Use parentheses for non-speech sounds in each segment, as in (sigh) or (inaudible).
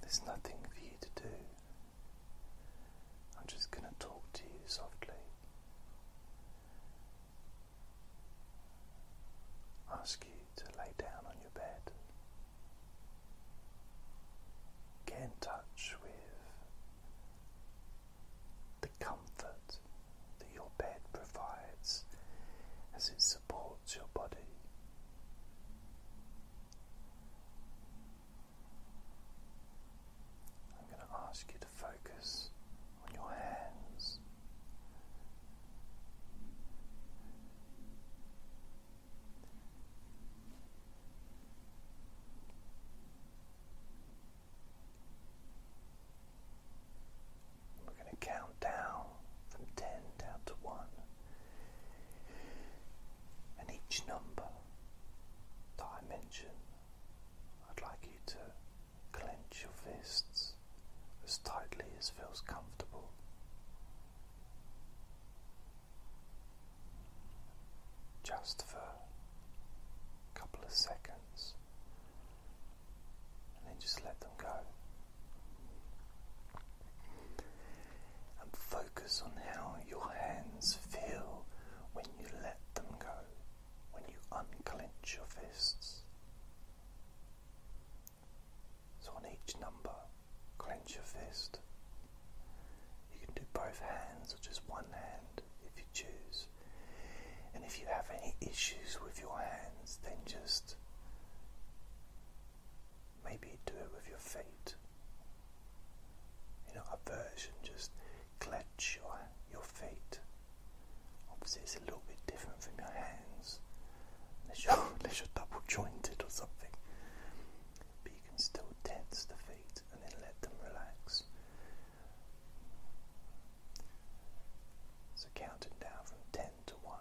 There's nothing for you to do. I'm just going to talk to you softly. Ask you to lay down on your bed. Get in touch with the comfort that your bed provides as it's supports your body. I'm going to ask you to focus on your hands. We're going to count down from 10 down to 1. And each number that I'd like you to clench your fists as tightly as feels comfortable. Just for a couple of seconds, and then just let them go. And focus on how your hands feel when you let them go, when you unclench your fists. So, on each number, clench your fist. You can do both hands or just one hand if you choose. And if you have any issues with your hands, then just Maybe do it with your feet. In our version, just clutch your, your feet. Obviously, it's a little bit different from your hands, unless you're, (laughs) unless you're double jointed or something. But you can still tense the feet and then let them relax. So, counting down from 10 to 1.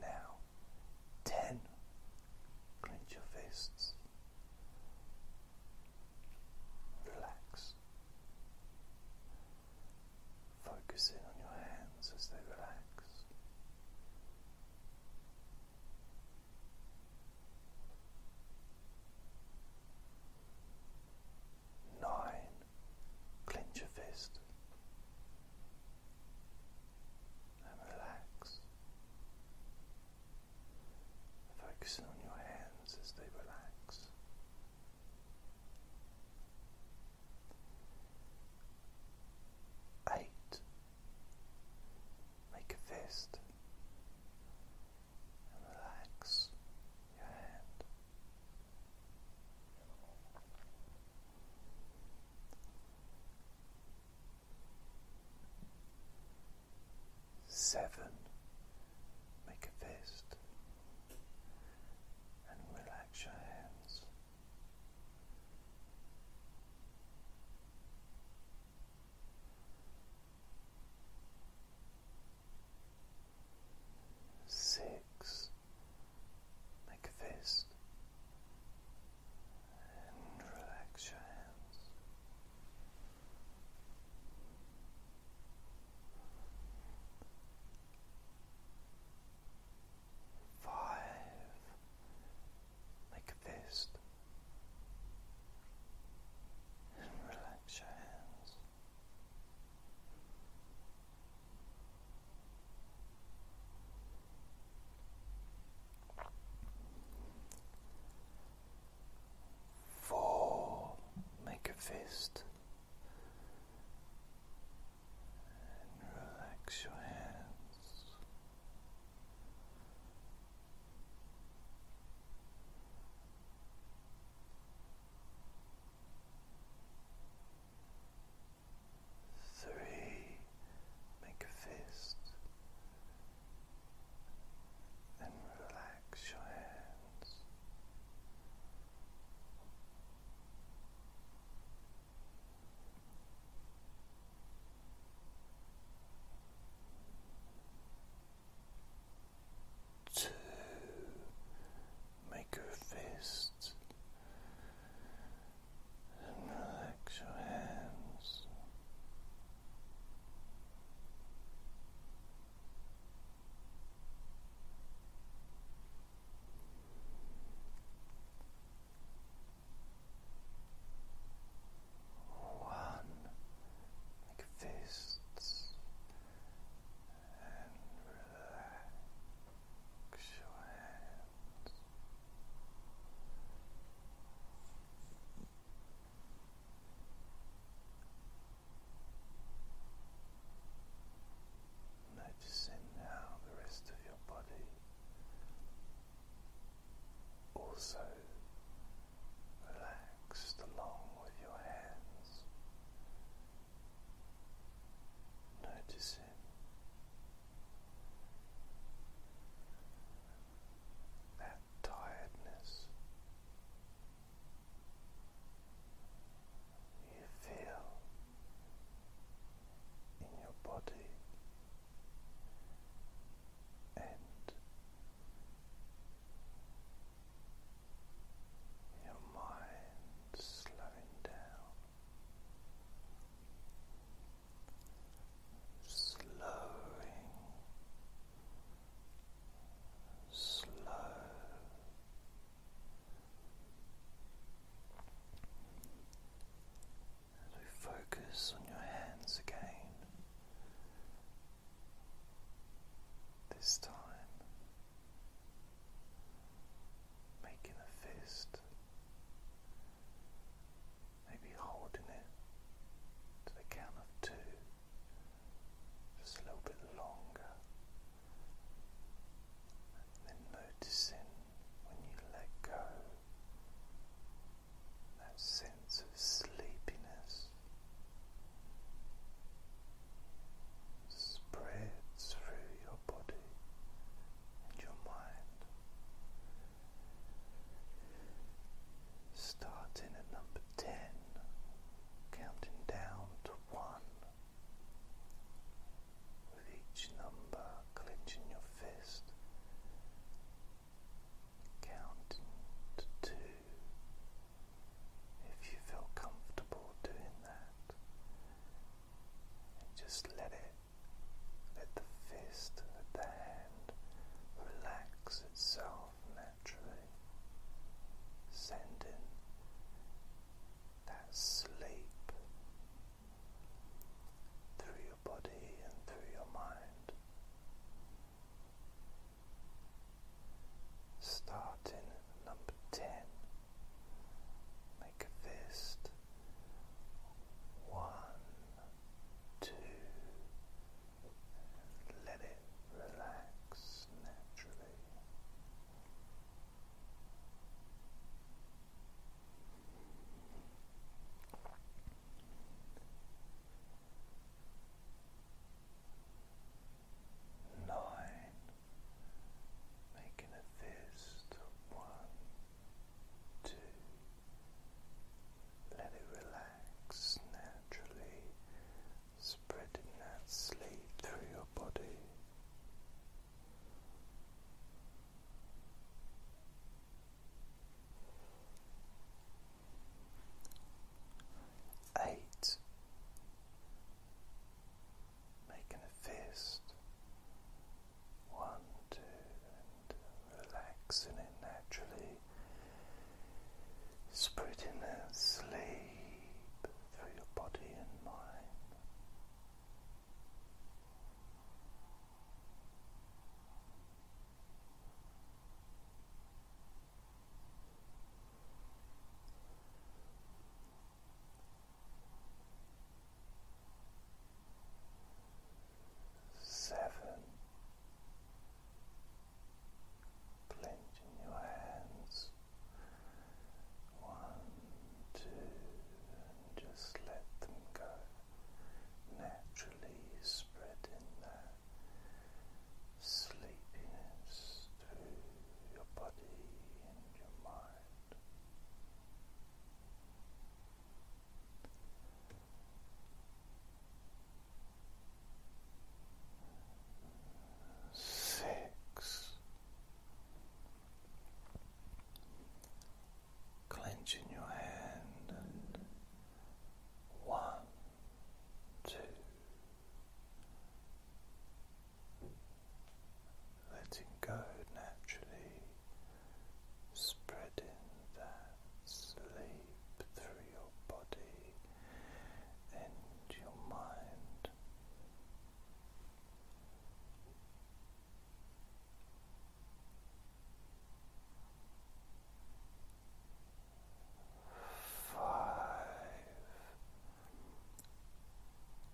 Now, ten. Clench your fists. Relax. Focus in on your hands as they relax nine, clench your fist and relax, focusing on your hands as they relax. Eight, make a fist and relax your hand. Seven, make a fist and relax your hands six, make a fist, and relax your hands. Five, make a fist and relax your hands. Four, make a fist and relax your hands. Three, make a fist and relax your hands. Two, make a fist and relax your hands. One like fists and relax your hands. Noticing now the rest of your body also relaxed along with your hands, noticing that tiredness you feel in your body and your mind slowing down. Slowing, slow, as we focus on your hands again, this time, making a fist, maybe holding it to the count of two, just a little bit longer, and then noticing when you let go that sense of sleepiness spreads through your body and your mind. Starting at number 10, counting down to 1, with each number clenching your fist counting to two. If you feel comfortable doing that, just let it, let the fist, let the hand relax itself naturally, sending that sleep through body and through your mind. Starting number 10, make a fist. One, two, let it relax naturally. Nine, making a fist. One, two. Let it relax naturally, spreading that sleep through your body. Eight, making a fist. One, two, and relaxing it naturally, spreading that sleep through your body and mind. Seven, clenching your hands. One, two, just let them go, naturally spread in that sleepiness through your body and your mind. Six clenching your hand one, two, letting go naturally, spreading that sleep through your body and your mind. Five,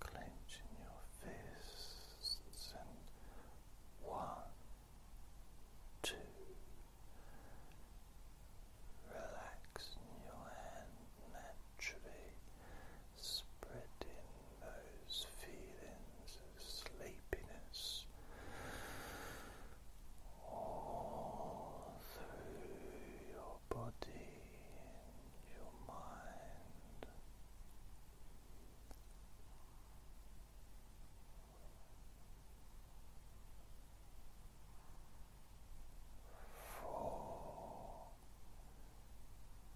clenching your fists and one, two, relaxing your hand naturally spreading those feelings of sleepiness all through your body your mind. Four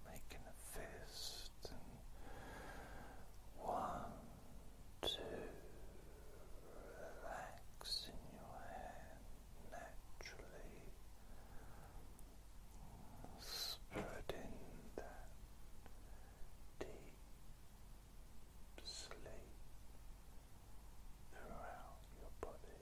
making a fist and one, two, relax in your hand naturally, spreading that deep sleep throughout your body.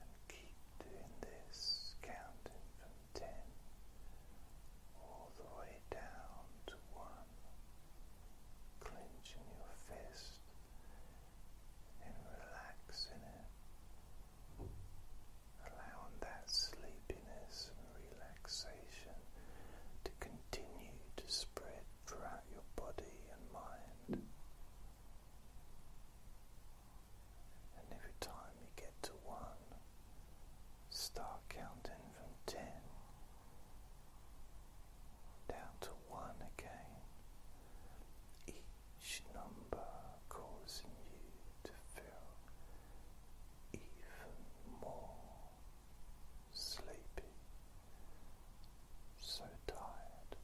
And keep doing this, counting from ten all the way down to one, clenching your fist and relaxing it, allowing that sleepiness and relaxation to continue to spread throughout your body and mind and every time you get to one, start counting from ten down to one again. Each number causing you to feel even more sleepy, so tired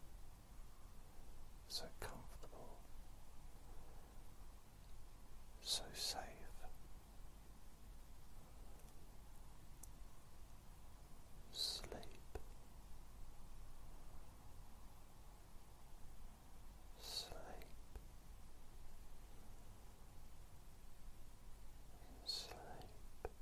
so comfortable, so safe. Sleep. Sleep sleep.